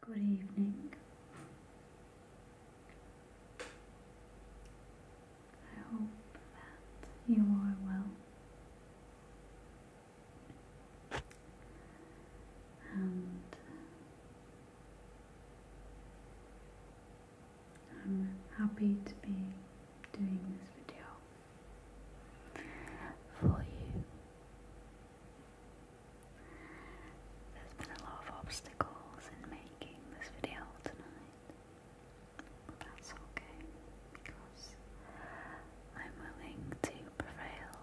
Good evening. I hope that you are well and I'm happy to be doing this video for you. There's been a lot of obstacles in making this video tonight. But that's okay, because I'm willing to prevail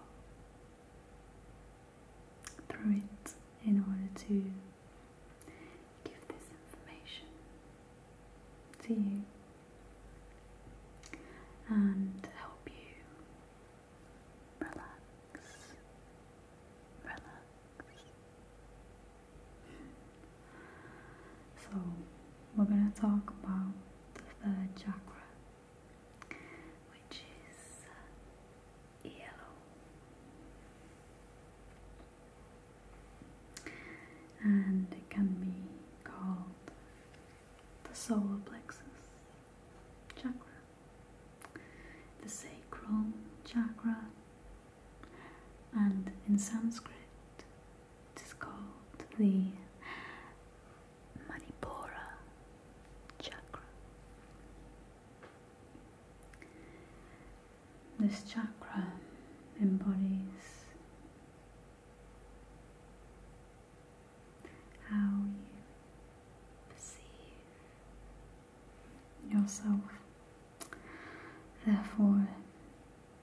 through it in order to give this information to you and help you relax, relax. So, we're going to talk about the third chakra, which is yellow, and it can be called the solar plexus chakra, the sacral chakra, and in Sanskrit it is called the Manipura chakra. This chakra embodies how you perceive yourself. Therefore,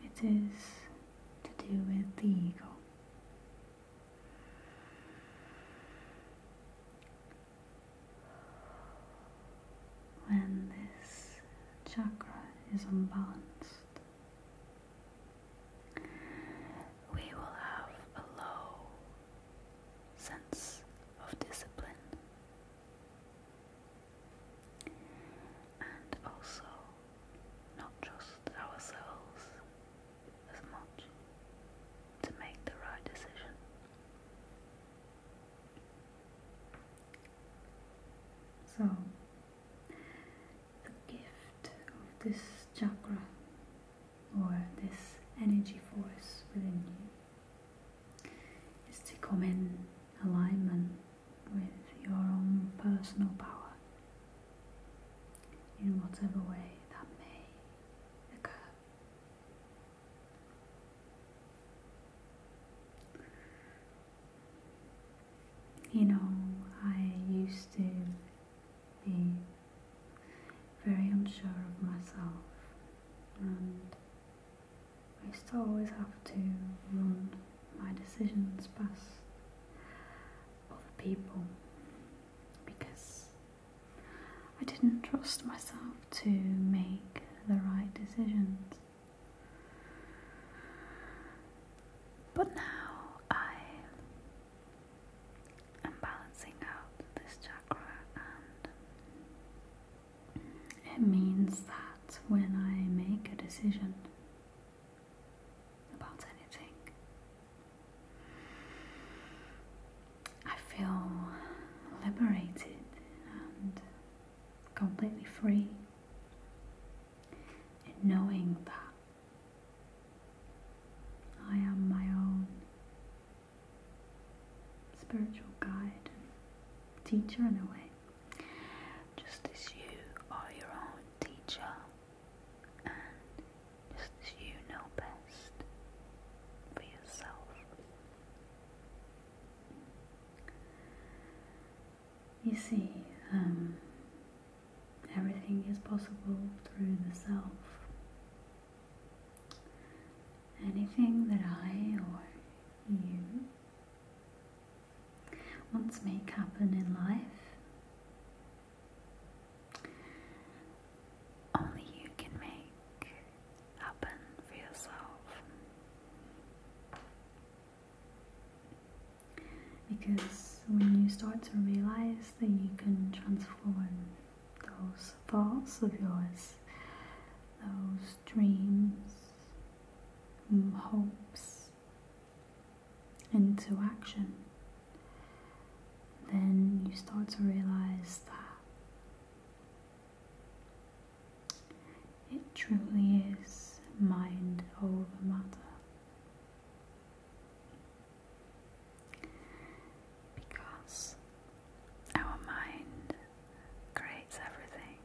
it is to do with the ego. When this chakra is unbalanced, we will have a low sense of discipline and also not trust ourselves as much to make the right decision. So, the gift of this chakra or this energy force within you is to come in alignment with your own personal power in whatever way that may occur. You know, I used to be very unsure of myself, and I used to always have to run my decisions past other people because I didn't trust myself to make the right decisions. But now I am balancing out this chakra, and it means that when I make a decision about anything, I feel liberated and completely free in knowing that I am my own spiritual guide and teacher in a way. Just as you are your own teacher and just as you know best for yourself. You see, um, Everything is possible through the self. Anything that I or you wants make happen in life, only you can make happen for yourself. Because when you start to realize that you can transform those thoughts of yours, those dreams, hopes into action, then you start to realize that it truly is mind over matter. Because our mind creates everything,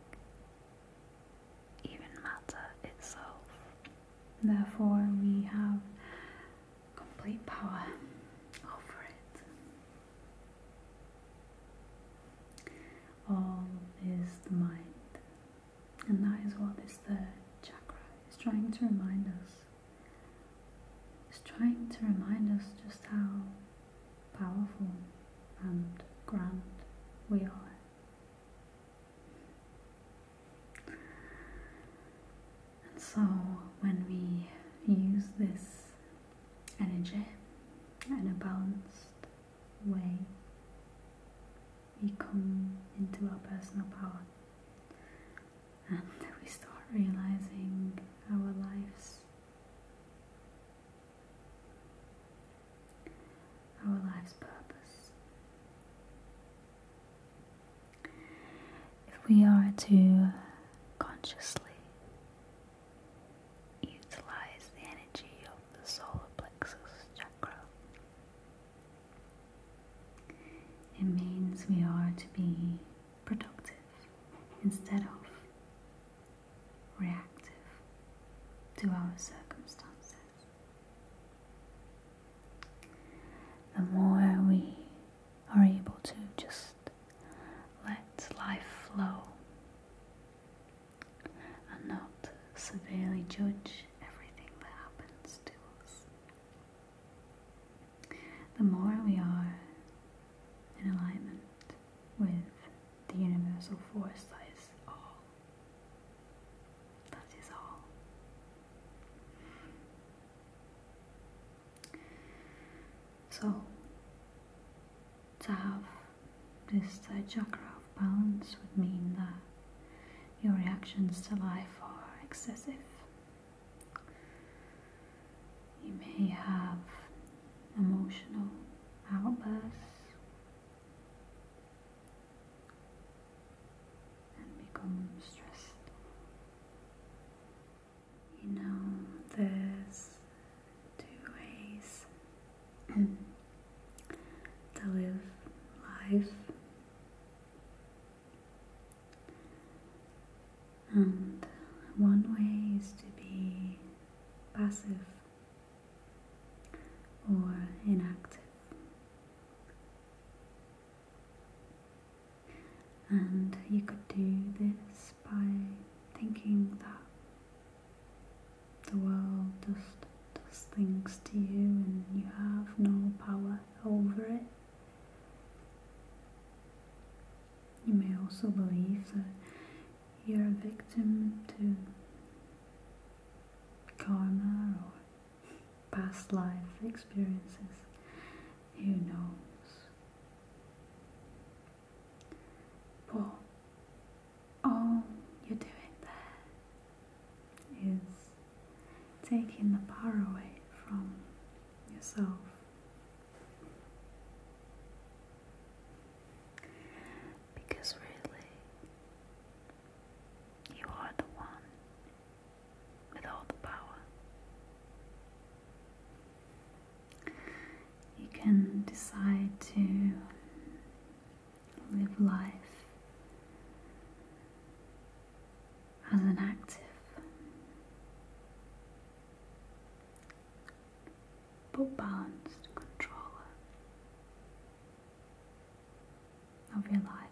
even matter itself. Therefore, we have complete power over it. All is the mind. And that is what this chakra is trying to remind us. It's trying to remind us just how powerful and grand we are. And so when we use this energy in a balanced way, we come into our personal power and we start realizing our lives our life's purpose if we are to consciously utilize the energy of the solar plexus chakra. It means we are to be productive instead of reactive to our circumstances. The more we are able to just let life flow, and not severely judge everything that happens to us. The more we are in alignment with the universal force that is all, that is all. So, to have this chakra of balance would mean that your reactions to life are excessive. You may have emotional outbursts and become stressed. You know, there's two ways to live life. And one way is to be passive or inactive. And you could do this by thinking that the world just does things to you and you have no power over it. You may also believe that you're a victim to karma or past life experiences. Who knows? pull. All you're doing there is taking the power away from yourself. Because really, you are the one with all the power. You can decide to live life as an active but balanced controller of your life.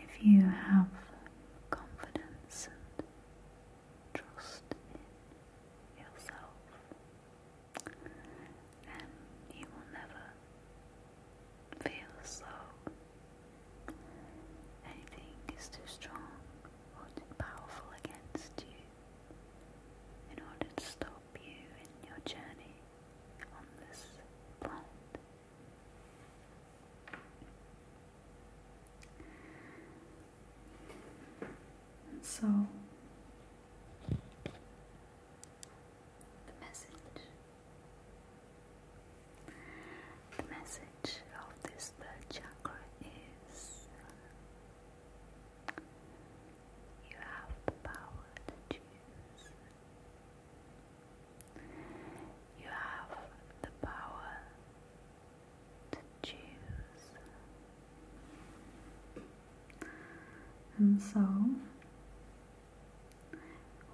If you have confidence Trust in yourself, and you will never feel as though anything is too strong or powerful against you in order to stop you in your journey on this planet. So the message the message of this third chakra is you have the power to you have the power to choose. And so,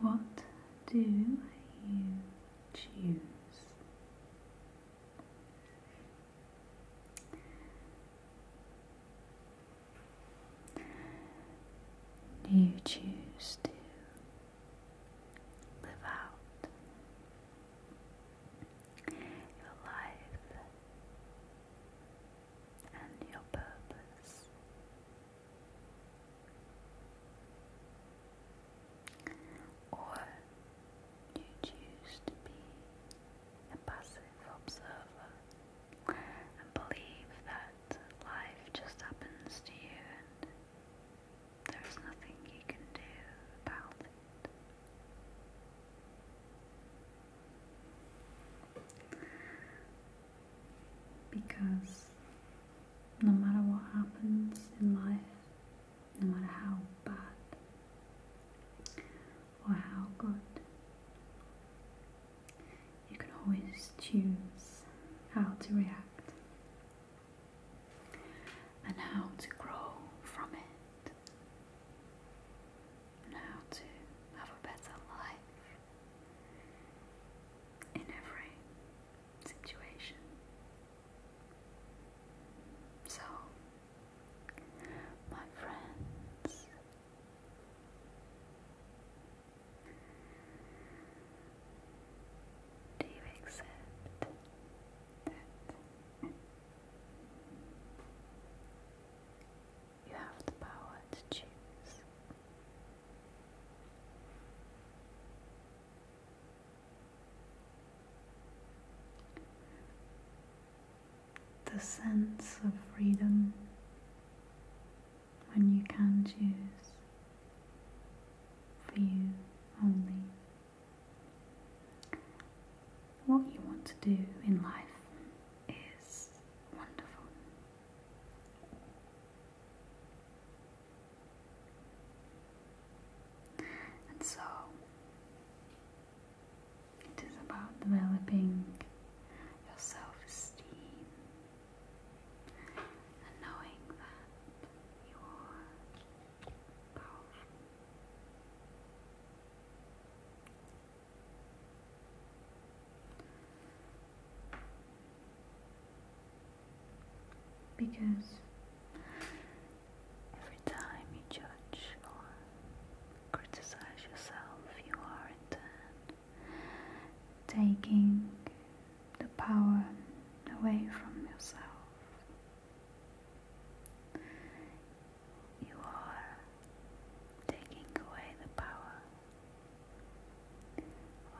what do you choose? Do you choose to Live out your life and your purpose. Or you choose to be a passive observer and believe that life just happens to you there's nothing you can do about it. Because no matter what happens in life, no matter how bad or how good, you can always choose how to react and how to grow from it, and how to have a better life in every situation. So, my friends, do you accept that you have the power to choose? The sense of freedom when you can choose for you only what you want to do in life is wonderful. And so it is about developing your self esteem knowing that you are Because every time you judge or criticize yourself, you are in turn taking the power away from yourself. You are taking away the power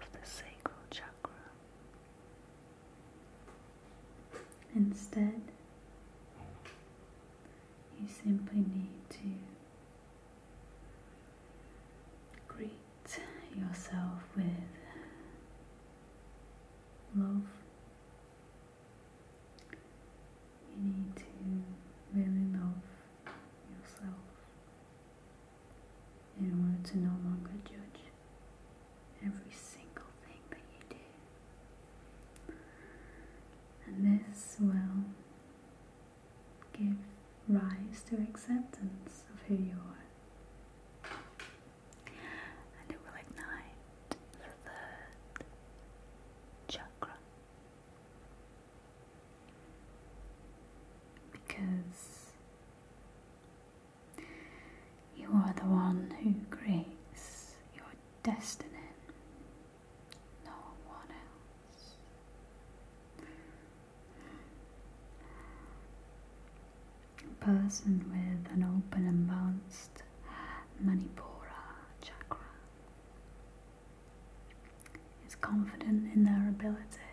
of the sacral chakra. Instead, you simply need to greet yourself with love. You need to really love yourself in order to no longer judge every single thing that you do. And this will give rise to acceptance of who you are. And it the third chakra. Because you are the one who creates your destiny. No one else. A person with an open and balanced Manipura chakra is confident in their ability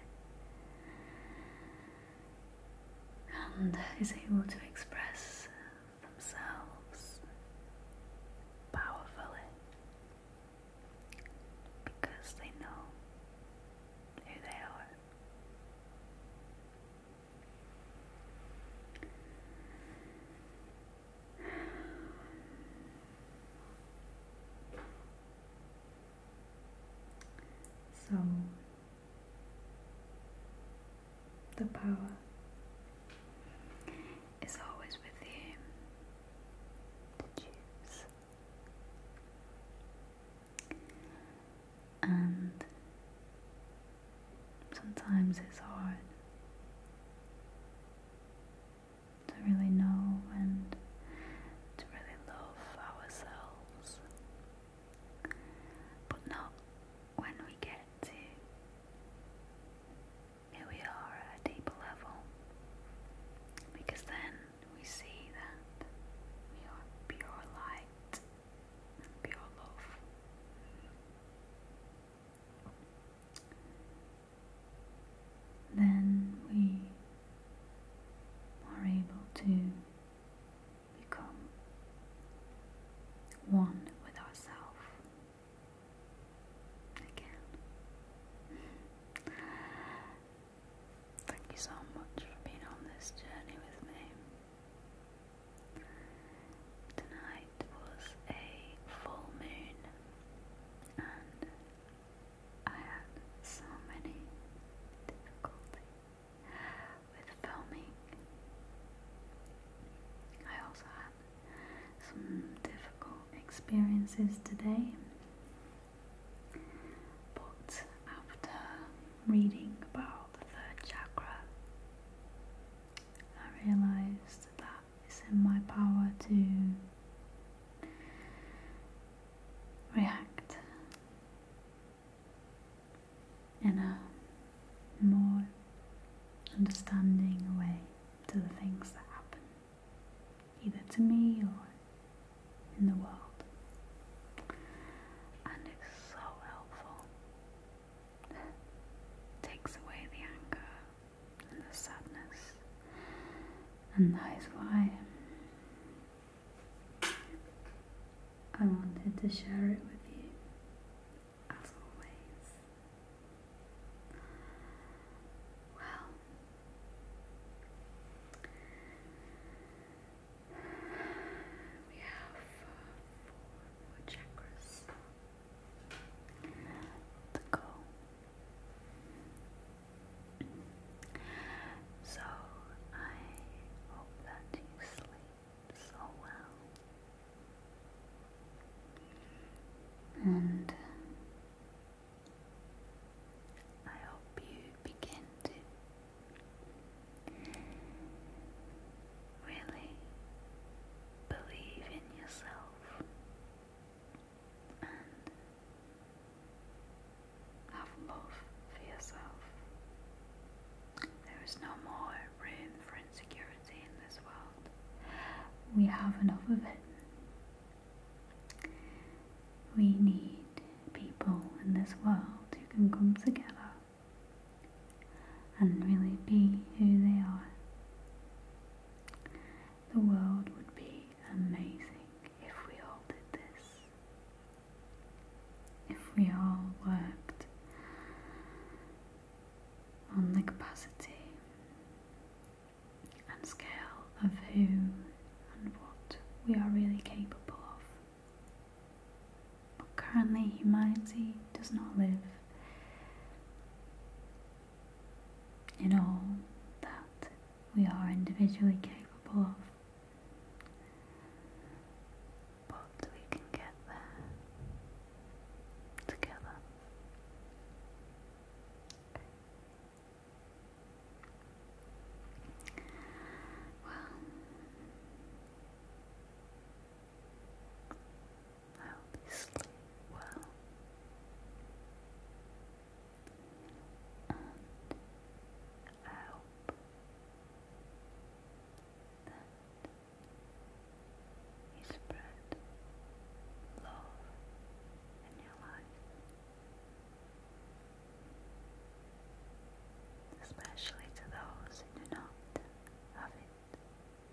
and is able to express themselves powerfully because they know who they are. So, the power is always with him And sometimes it's hard to really know and to really love ourselves, but not when we get to who we are at a deeper level because then we see that we are pure light pure love. Then we are able to become one with ourselves Again. Thank you so much for being on this journey with me. Tonight was a full moon, and I had so many difficulty with filming. I also had some difficult experiences today. But after reading about the third chakra, I realized that it's in my power to react in a more understanding way to the things that happen either to me or in the world. And it's so helpful. It takes away the anger and the sadness. And that is why I wanted to share it with you as always. Well, we have four chakras to go. So I hope that you sleep so well. And I hope you begin to really believe in yourself and have love for yourself. There is no more room for insecurity in this world. We have enough of it. We need people in this world who can come together and really be who they are. The world would be amazing if we all did this. If we all worked on the capacity and scale of who and what we are really capable of. But currently, humanity does not live in all that we are individually capable of. But we can get there together. Well, I hope you sleep well, and I hope that you spread love in your life, especially to those who do not have it.